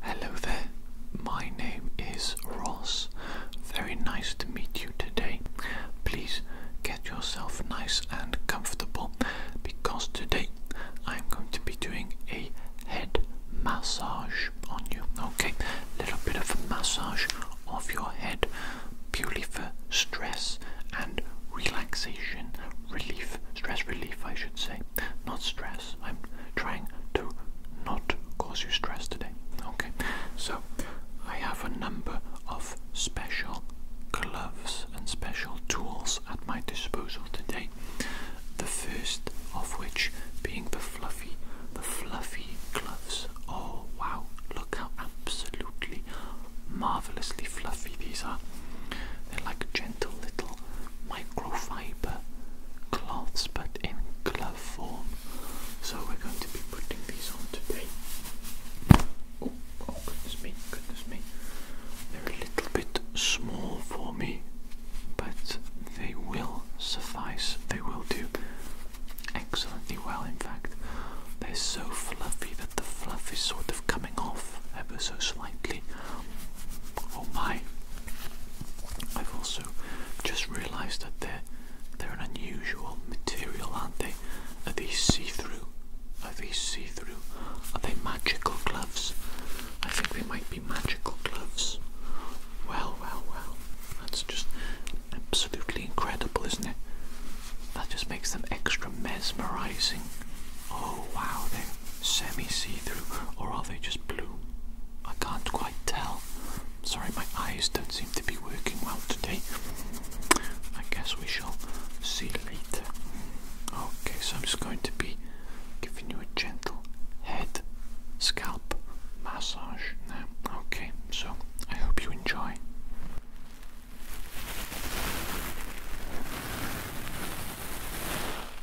Hello there, my name is Ross. Very nice to meet you today. Please get yourself nice and comfortable because today I'm going to be doing a head massage on you. Okay, little bit of a massage of your head purely for stress and relaxation relief stress relief, I should say. Not stress. I'm trying to not cause you stress today. Okay, so I have a number of special gloves and special tools at my disposal today. The first of which being the fluffy, the fluffy gloves. Oh wow, look how absolutely marvelously fluffy these are. They're like gentle little microfiber cloths but in glove form. So we're going to be putting these on today. Oh, oh, goodness me, goodness me. They're a little bit small for me, but they will suffice. They will do excellently well, in fact. They're so fluffy that the fluff is sort of coming off ever so slightly. Oh my, I've also just realised that they're they're an unusual material, aren't they? Are these see-through? Are these see-through? Are they magical gloves? I think they might be magical gloves. Well, well, well. That's just absolutely incredible, isn't it? That just makes them extra mesmerising. Oh wow, they semi-see-through, or are they just blue? I can't quite tell. Sorry, my eyes don't seem to be working well today. I guess we shall see later. Okay, so I'm just going to be giving you a gentle head scalp massage now. Okay, so I hope you enjoy.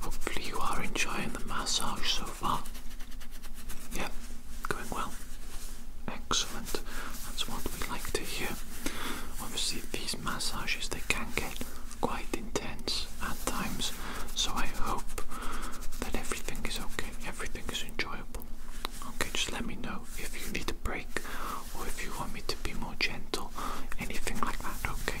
Hopefully, you are enjoying the massage so far. Yep, going well. Excellent. That's what we like to hear. Obviously, these massages they can get quite intense at times. So I hope that everything is okay. Everything is enjoyable. Okay, just let me know if you need a break or if you want me to be more gentle, anything like that, okay?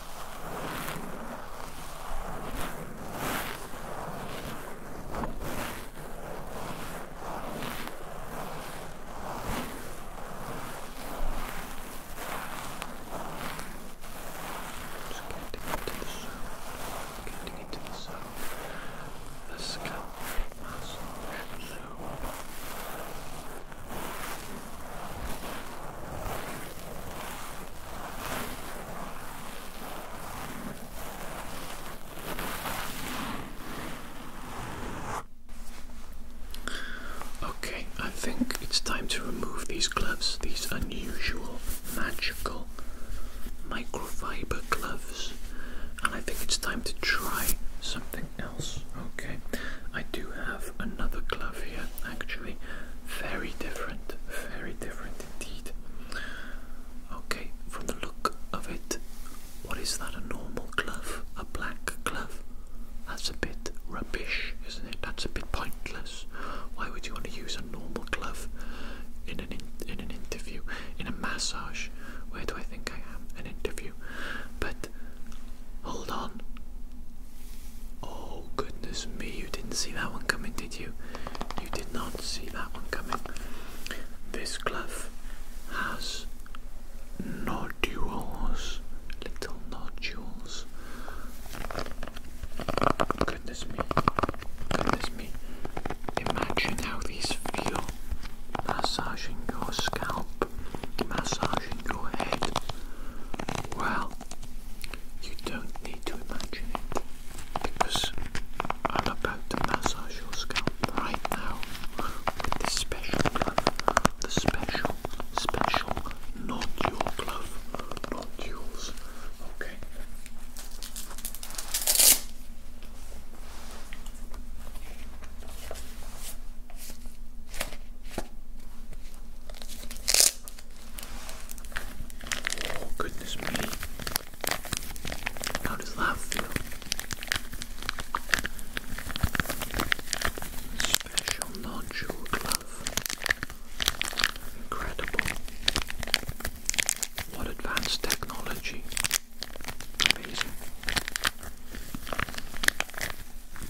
Just getting into the sound, getting into the sound. The scalp massage. So, Okay, I think it's time to remove these gloves, these unusual, magical microfiber gloves, and I think it's time to try something else. Okay, I do have another glove here actually very different, very different indeed. Okay, from the look of it, what is that? A normal glove? A black glove? That's a bit rubbish, isn't it? That's a bit pointless. Why would you want to use a normal glove in an in, an interview? In a massage? Where do I think I am? An interview? But hold on. Oh goodness me, you didn't see that one coming, did you? You did not see that one coming. This glove has nodules, little nodules. Oh Goodness me, Oh goodness me. Imagine how these feel massaging your scalp, massaging your head. Well, you don't need to imagine it because I'm about to massage your scalp right now with this special glove. The special, special, not your glove, not yours. Okay. Oh, goodness me. How does that feel? Special nodule glove. Incredible. What advanced technology. Amazing.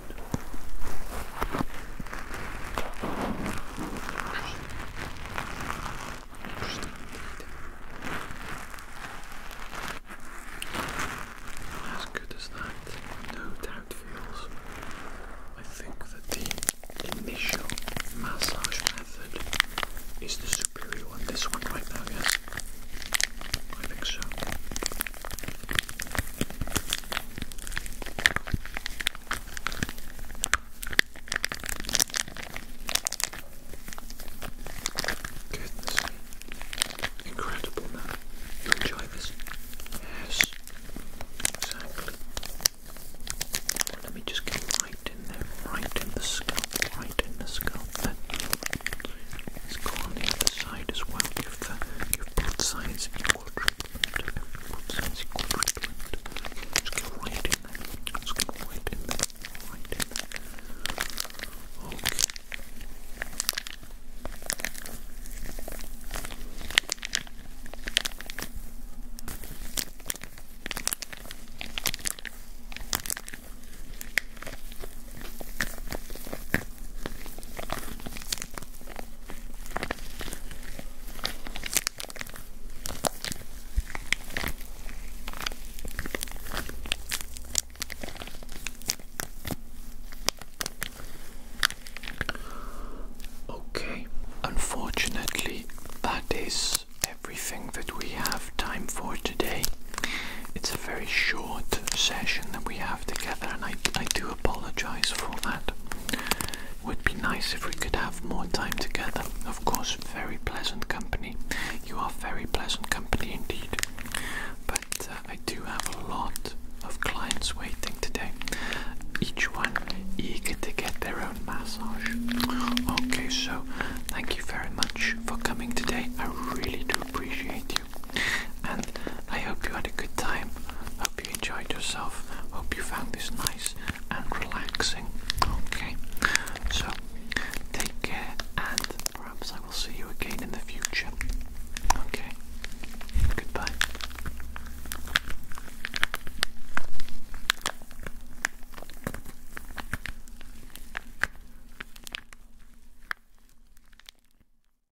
As good as that, no doubt feels. I think that the initial massage method is the superior one. This one right now, yes? I think so. Goodness me. Incredible man. You enjoy this? Yes. Exactly. Let me just get right in there, right in the scalp, right in the scalp. Let's go on the other side as well. Give the uh, give both sides cool treatment. It's cool treatment. Just get right in there. Just get right in there. Right in there. Okay. Okay. Okay, unfortunately, that is everything that we have time for today. It's a very short session that we have together, and I, I do apologize for that. Would be nice if we could have more time together. Of course, very pleasant company. You are very pleasant company indeed. But uh, I do have a lot of clients waiting today, each one eager to get their own massage. Okay, so thank you very much for coming today. I really do appreciate you. And I hope you had a good time. Hope you enjoyed yourself. Hope you found this nice and relaxing. Okay, so take care, and perhaps I will see you again in the future. Okay, goodbye.